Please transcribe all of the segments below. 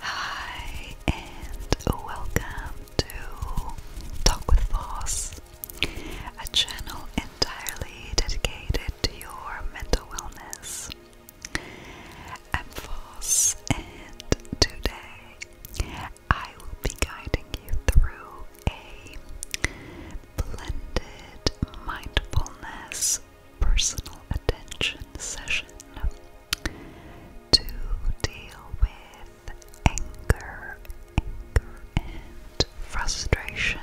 Hi, and welcome to Talk with Voss, a channel entirely dedicated to your mental wellness. I'm Voss, and today I will be guiding you through a blended mindfulness personal attention session to deal with anger, anger and frustration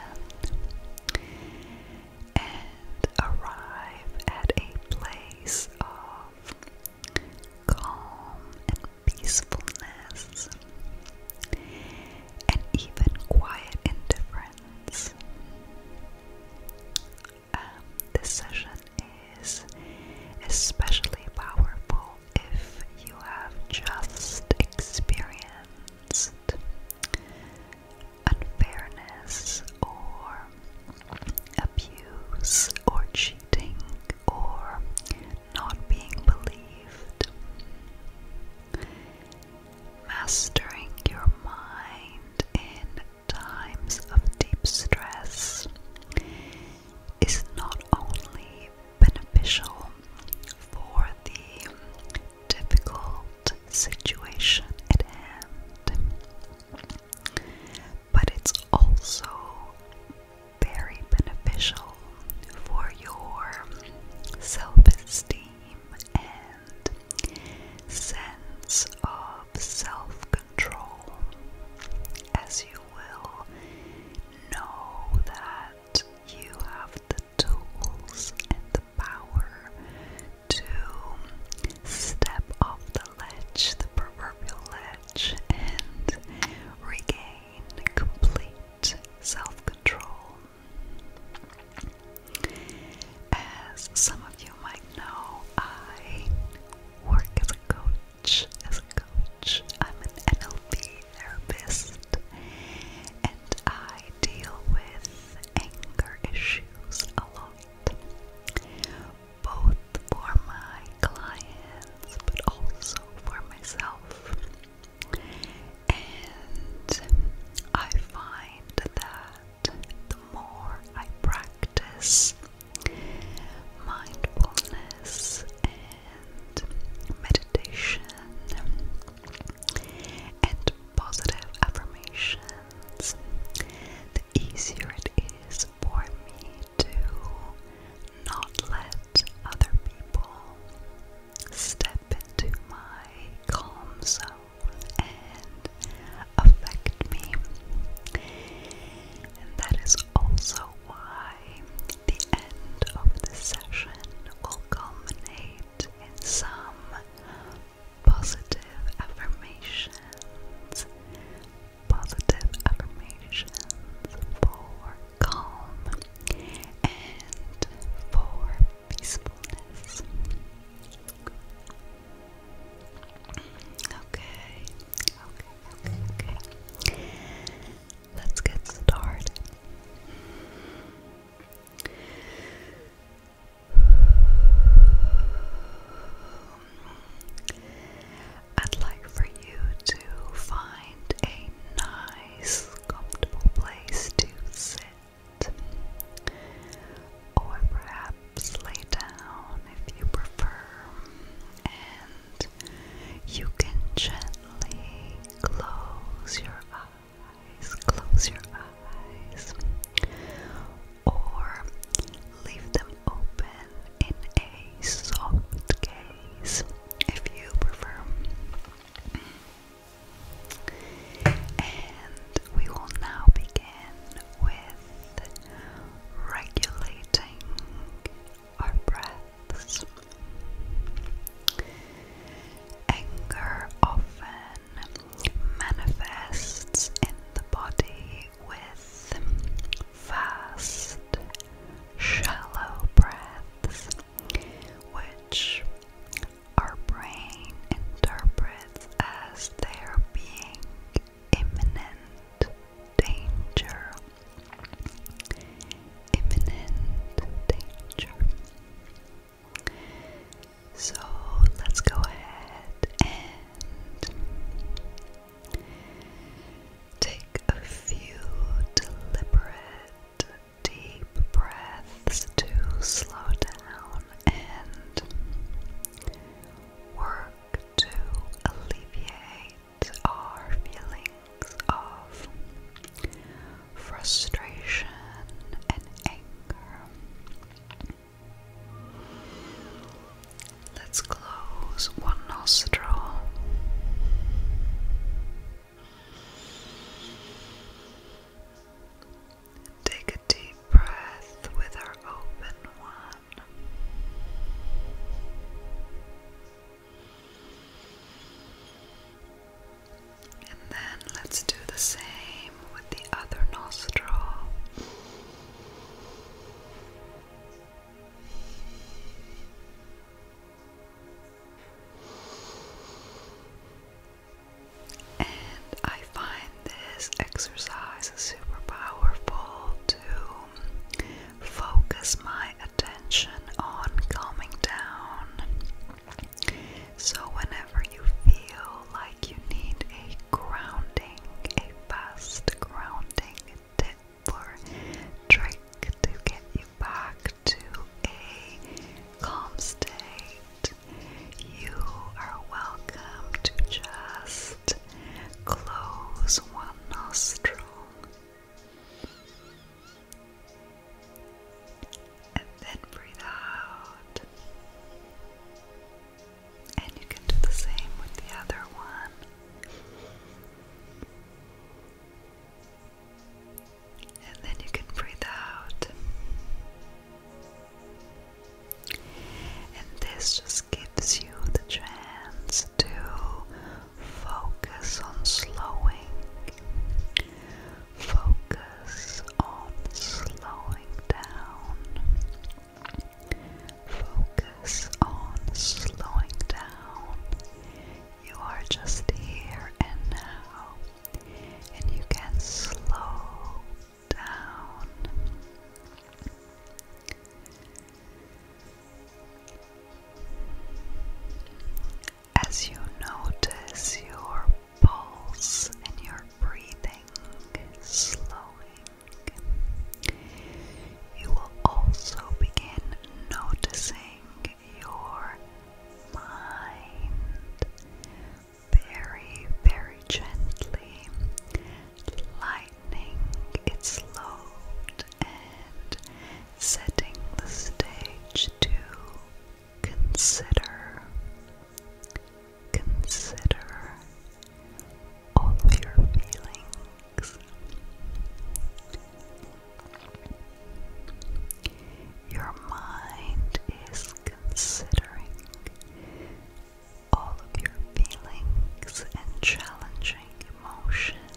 and arrive at a place of calm and peacefulness and even quiet indifference. Um, this session is especially powerful if you have just experienced unfairness or abuse or cheating or not being believed. Mastering your mind in times of deep stress is not only beneficial for the difficult situation at hand, but it's also very beneficial for your self esteem and sense of self control, as you will know that you have the tools and the power to step off the ledge, the proverbial ledge, and regain complete self control. As some of you might know, I work as a coach. As a coach, I'm an NLP therapist and I deal with anger issues a lot, both for my clients but also for myself. And I find that the more I practice mindfulness and meditation and positive affirmations, the easier it is for me to not let other people step into my calm zone and affect me. And that is also why the end of the session will culminate in some positive affirmations. Positive affirmations for calm and for peacefulness. Okay, okay, okay, okay. Let's get started. I'd like for you to find a nine nice, comfortable place to sit, or perhaps lay down if you prefer, and you can gently close your eyes, close your eyes, or leave them open in a soft gaze if you prefer. And we will now begin with regulating our breaths. Anger often manifests in the body with fast, shallow breaths which our brain interprets as there being imminent danger. Imminent danger. So let's go ahead and take a few deliberate deep breaths to slow down and work to alleviate our feelings of frustration and anger. Let's close one nostril. Take a deep breath with our open one. And then let's do the same with the other nostril. And I find this exercise super powerful to focus my attention on calming down. So, whenever you feel like you need a grounding, a fast grounding tip, for trick to get you back to a calm state. You are welcome to just close one nostril. And then breathe out. And you can do the same with the other one. And then you can breathe out. And this just gives you the chance to focus on slowing. Focus on slowing down. Focus on slowing down you are just here and now, and you can slow down. As you notice your pulse and your breathing slowing, you will also begin noticing your mind very, very gently, lightening its load and setting the stage to consider, consider all of your feelings. Your mind is considering all of your feelings and challenging emotions.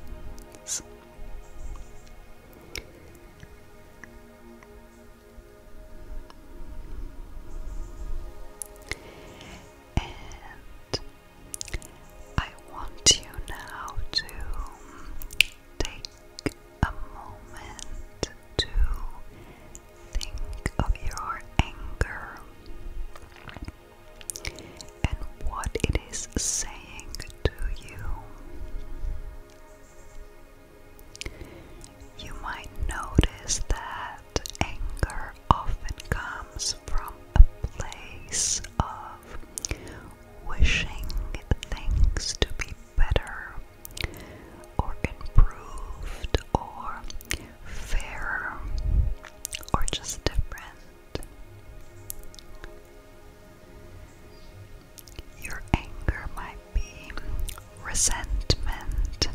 And I want you now to take a moment to think of your anger and what it is saying to you. You might notice that anger often comes from a place of wishing things to be better or improved or fair, or just different. Your anger might be resentment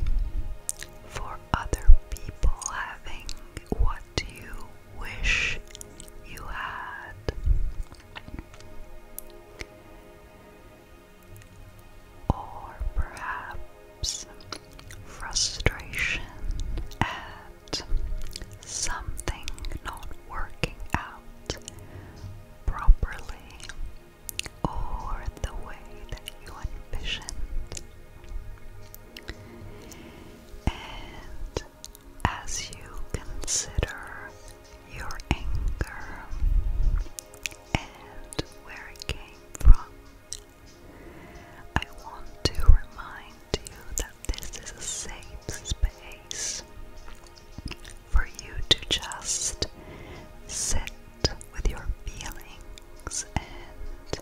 for other people having what you wish you had. Or perhaps frustration at something not working out properly or the way that you envisioned as you consider your anger and where it came from. I want to remind you that this is a safe space for you to just sit with your feelings and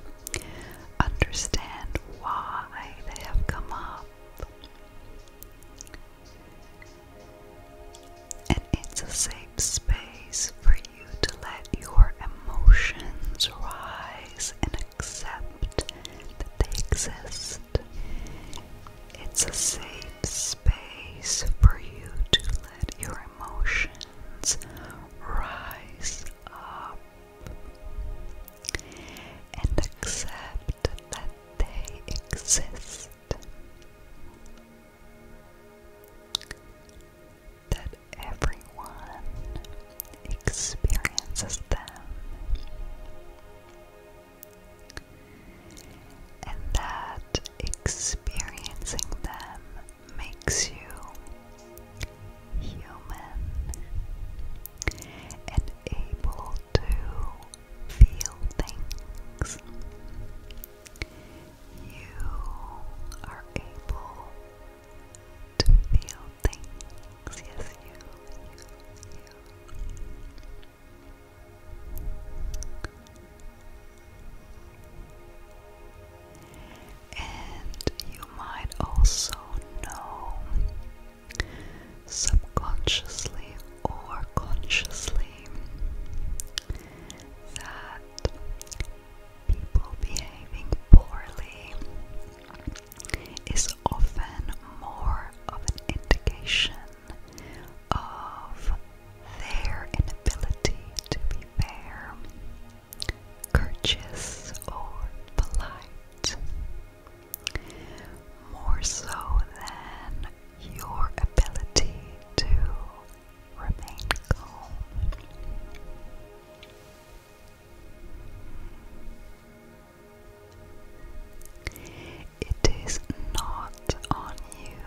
understand why they have come up. And it's a safe space for you to let your emotions rise and accept that they exist. It's a safe space for you to let your emotions rise up and accept that they exist. That everyone experiences them, and that experiencing them makes you human able to feel things. You are able to feel things. Yes, you. And you might also know subconsciously or consciously that people behaving poorly is often more of an indication of their inability to be fair, courteous, or polite it more so than your ability to remain calm. It is not on you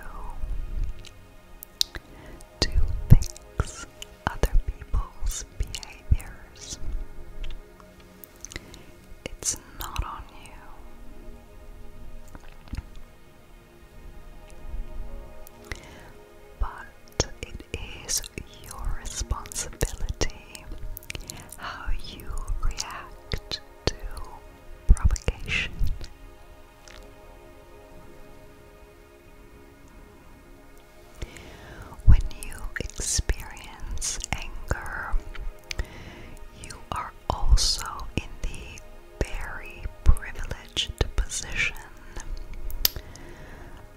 to fix other people's behaviors. It's not on you. But it is your responsibility how you react to provocation. When you experience anger, you are also in the very privileged position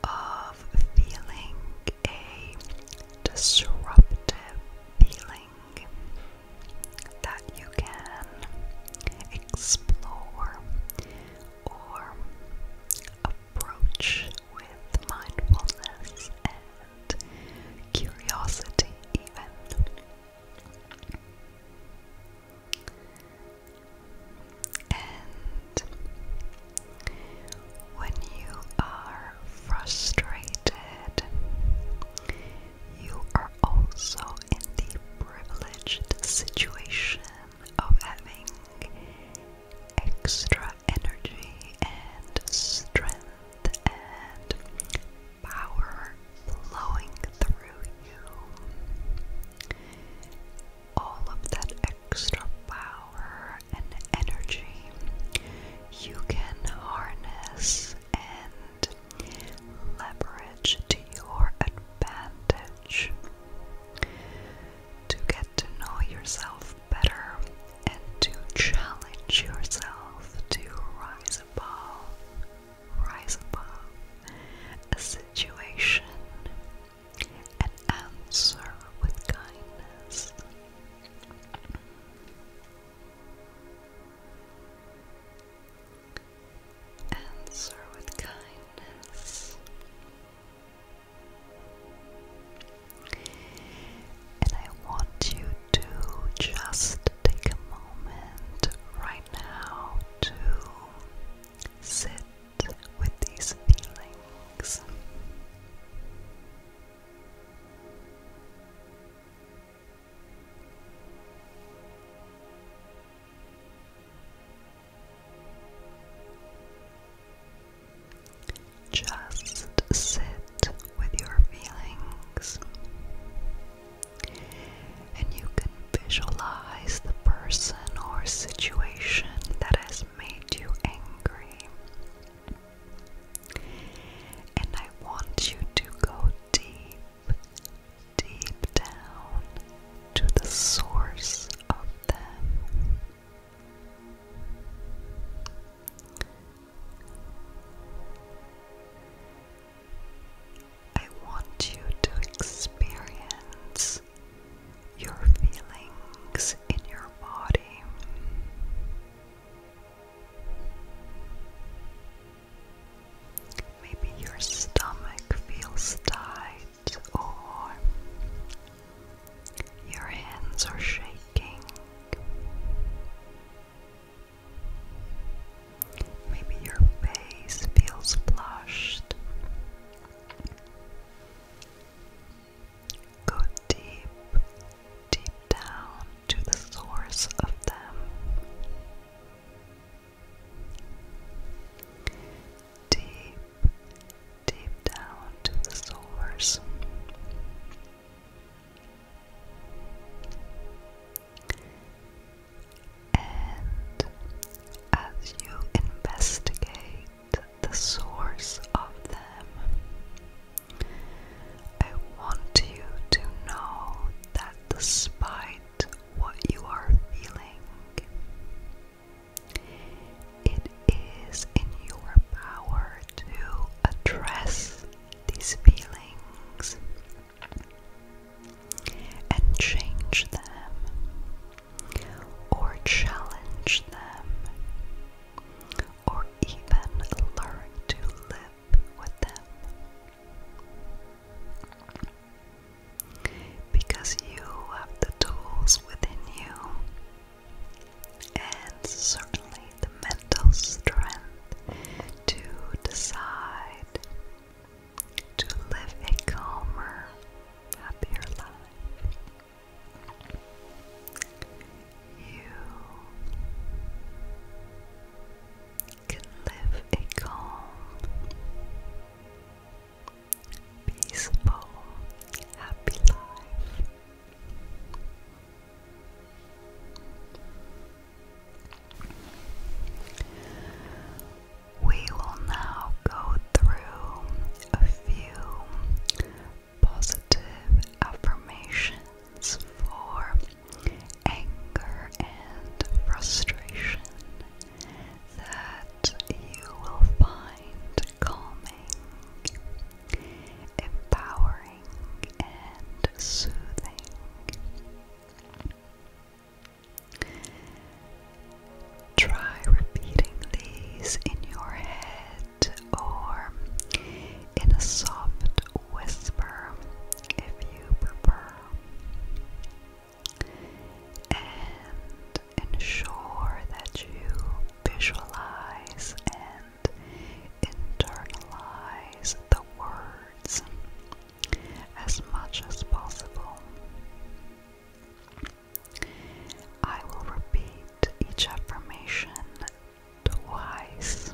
of feeling a disruptive feeling that you can explore or approach with mindfulness and curiosity, even. And when you are frustrated, you are also in the privileged situation of having extra energy and strength and power flowing through you. All of that extra power and energy you can harness and leverage to your advantage to get to know yourself better and to challenge yourself to rise above, rise above a situation and answer with kindness. Answer with kindness. And I want you to just take a moment right now to sit with these feelings. Just sit with your feelings, and you can visualize the person or situation that has made you angry. And I want you to go deep, deep down to the source of them. I want you to experience your feelings in your body. Maybe your stomach feels tight or your hands are shaking. Maybe your face feels flushed. Go deep, deep down to the source of them deep, deep down to the source. And as you investigate the source of them, I want you to know that despite what you are feeling, it is in your power to address these feelings and change them or challenge them or even learn to live with them because you have the tools within you and certainly the mental strength to decide to live a calmer, happier life. You can live a calm, peaceful, happy life. We will now go through a few positive affirmations for anger and frustration that you will find calming, empowering, and soothing. Try repeating these in your head or in a soft whisper if you prefer and ensure that you visualize and internalize the words as much as possible. I will repeat each affirmation twice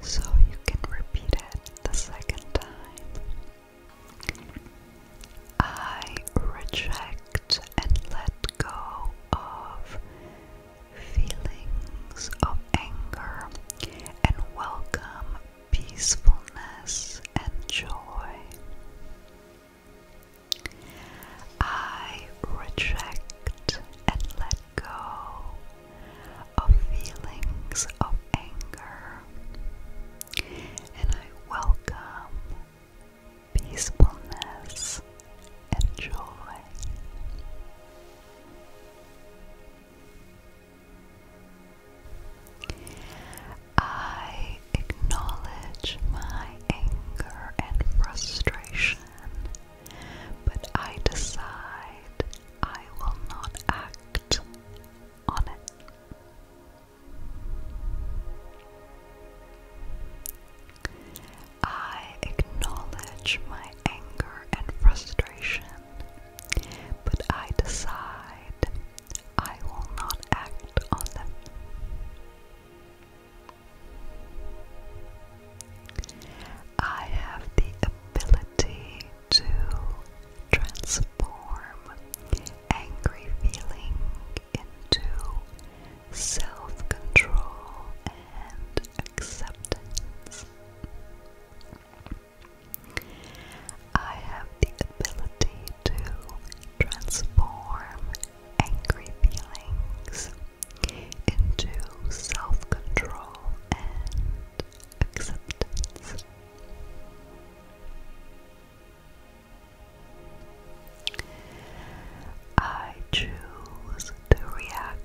so you can repeat it the second time. I reject and let go of feelings of anger and welcome peacefulness and joy. I reject and let go of feelings of anger and I welcome peacefulness and joy. I acknowledge my anger and frustration, but I decide I will not act on it. I acknowledge my anger and frustration, but I decide I will not act on them. I have the ability to transform angry feeling into self control and acceptance. I have the ability to transform angry feelings into self control and acceptance. I choose to react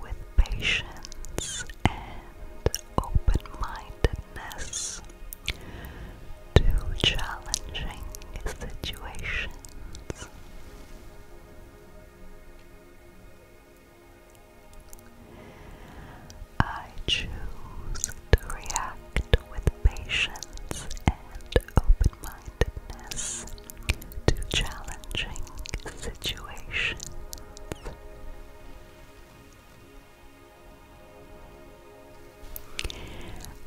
with patience and open mindedness to challenging situations. I choose to react with patience and open mindedness to challenging situations.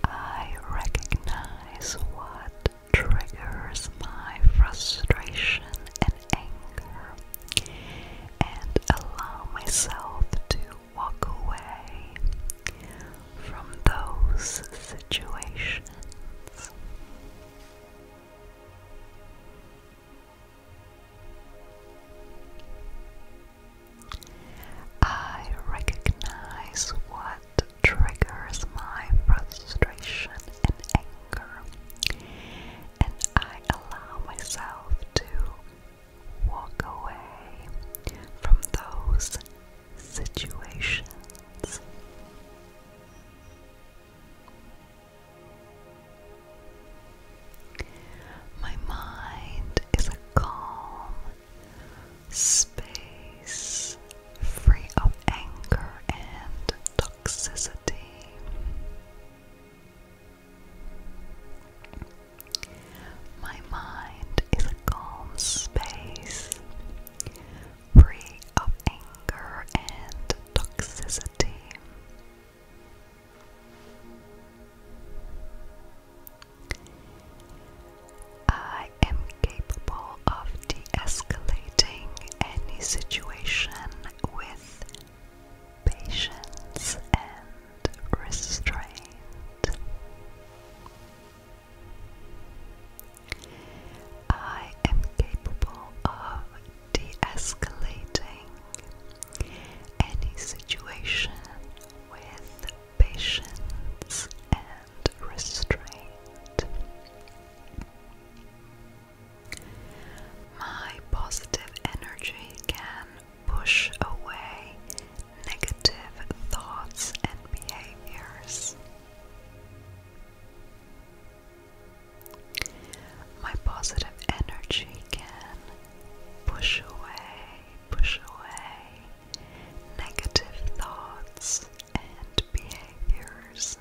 I recognize what triggers my frustration and anger and allow myself to walk away from those situations. I recognize what triggers my frustration and anger, and I allow myself to walk away from those situations. My mind is a calm space free of anger and toxicity. My mind is a calm space, free of anger and toxicity. I am capable of de any situation with patience and restraint. I am capable of de escalating any situation with patience and restraint. My positive energy can push away negative thoughts and behaviors. My positive energy can push away, push away negative thoughts and behaviors.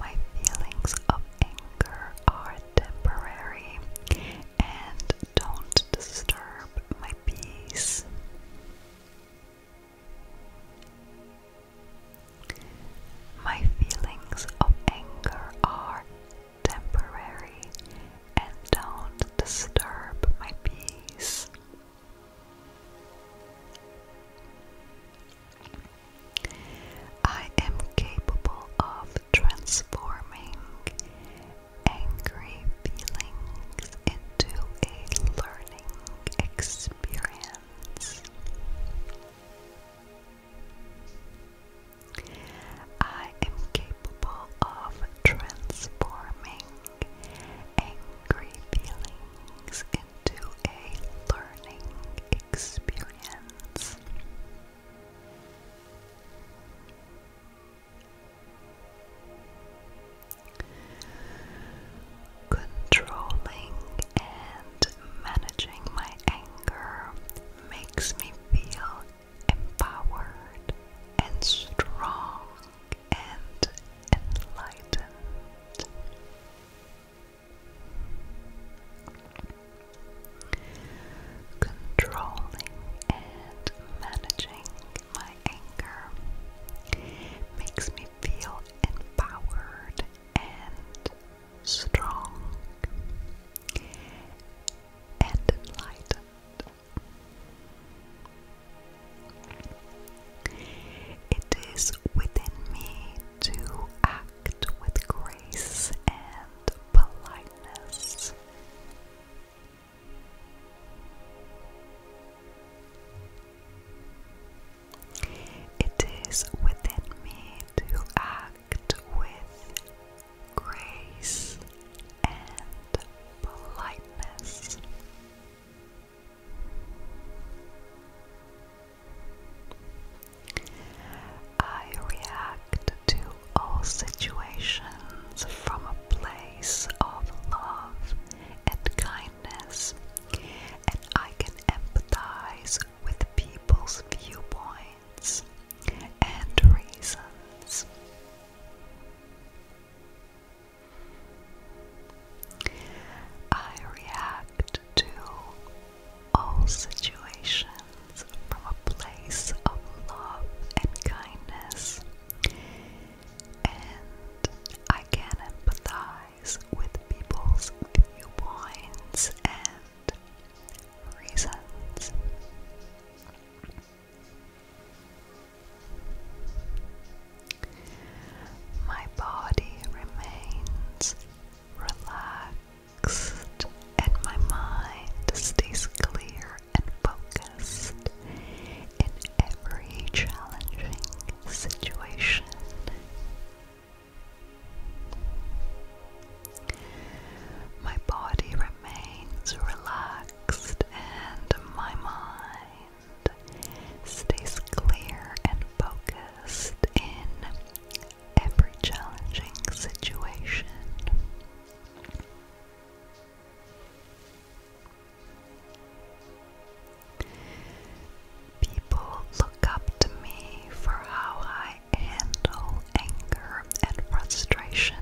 My feelings of anger are temporary and don't disturb my peace. My feelings of anger are temporary and don't disturb my peace. I am capable of transforming angry feelings into a learning experience. I am capable of transforming angry feelings to a learning experience. Controlling and managing my anger makes me feel empowered and strong and enlightened. Controlling and managing my anger makes me feel empowered and strong and enlightened. It is within me to act with grace and politeness. It is within me to act with grace and politeness. I react to all situations from a place of love and kindness, and I can empathize with people's viewpoints and reasons. I react to all situations from a place of love and kindness, and I can empathize with people's viewpoints and reasons. My body remains relaxed and my mind stays clear and focused in every challenging situation. My body remains relaxed and my mind stays clear and focused in every challenging situation. People look up to me for how I handle anger and frustration,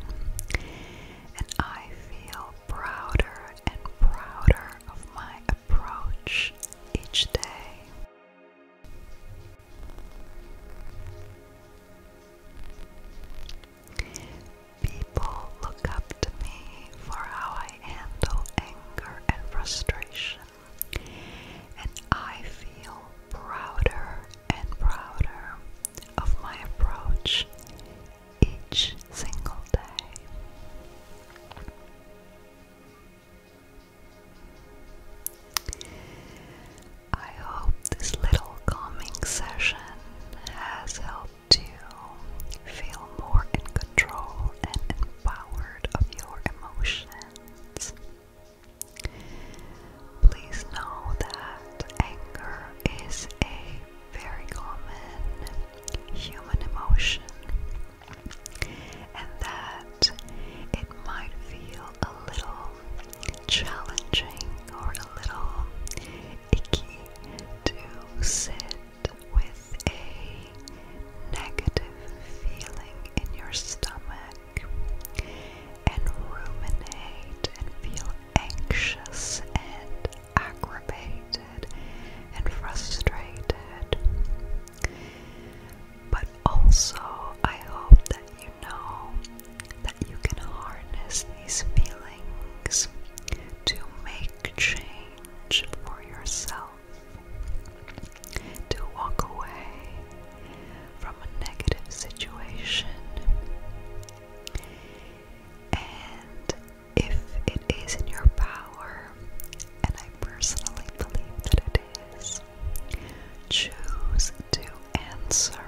and I feel prouder and prouder of my approach each day. People look up to me for how I handle anger and frustration, and I feel prouder and prouder of my approach each single day. I hope this little calming session has helped you feel more in control and empowered of your emotions. Please know that anger is a very common human emotion and that it might feel a little challenging or a little icky to sit with a negative feeling in your stomach and ruminate and feel anxious and aggravated and frustrated. But also, I hope that you know that you can harness these feelings to make change for yourself, to walk away from a negative situation. And if it is in your power, and I personally believe that it is, choose to answer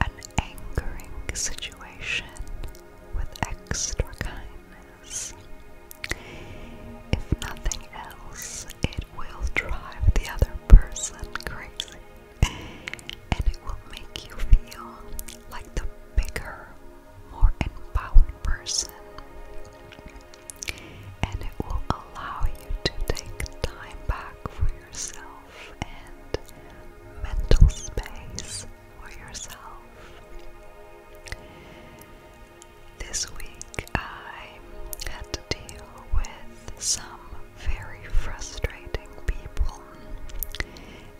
an angering situation with extra kindness. If nothing else, it will drive the other person crazy and it will make you feel like the bigger more empowered person, and it will allow you to take time back for yourself and mental space for yourself. This week I had to deal with some very frustrating people,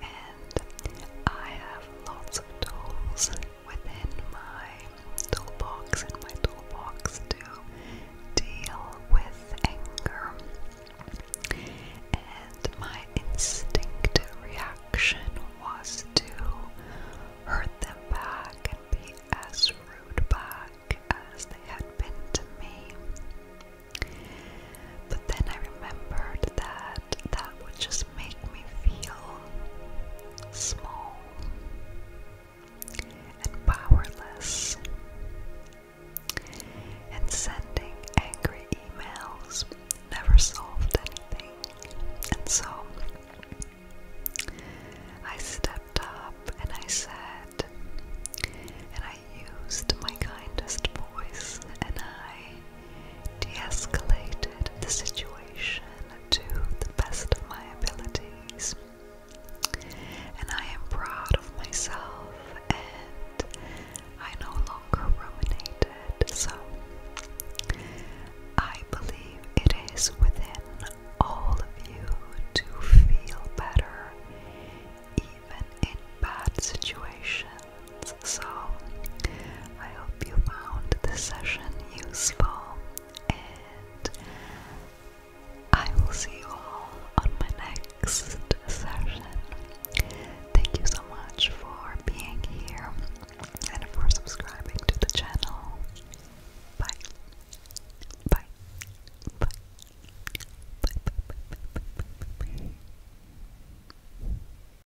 and I have lots of tools within my toolbox and my toolbox to deal with anger. And my instinctive reaction was to hurt them back and be as rude back as they had been to me. But then I remembered that that would just make me feel small and powerless, and sending angry emails never solved anything. And so I stepped up and I said, and I used my kindest voice, and I de escalated the situation to the best of my abilities. And I am proud of myself, and I no longer ruminated. So I believe it is within all of you to feel better, even in bad situations. So, I hope you found this session useful, and I will see you all on my next session. Thank you so much for being here and for subscribing to the channel. Bye. Bye. Bye. Bye. Bye. Bye. Bye. Bye. Bye.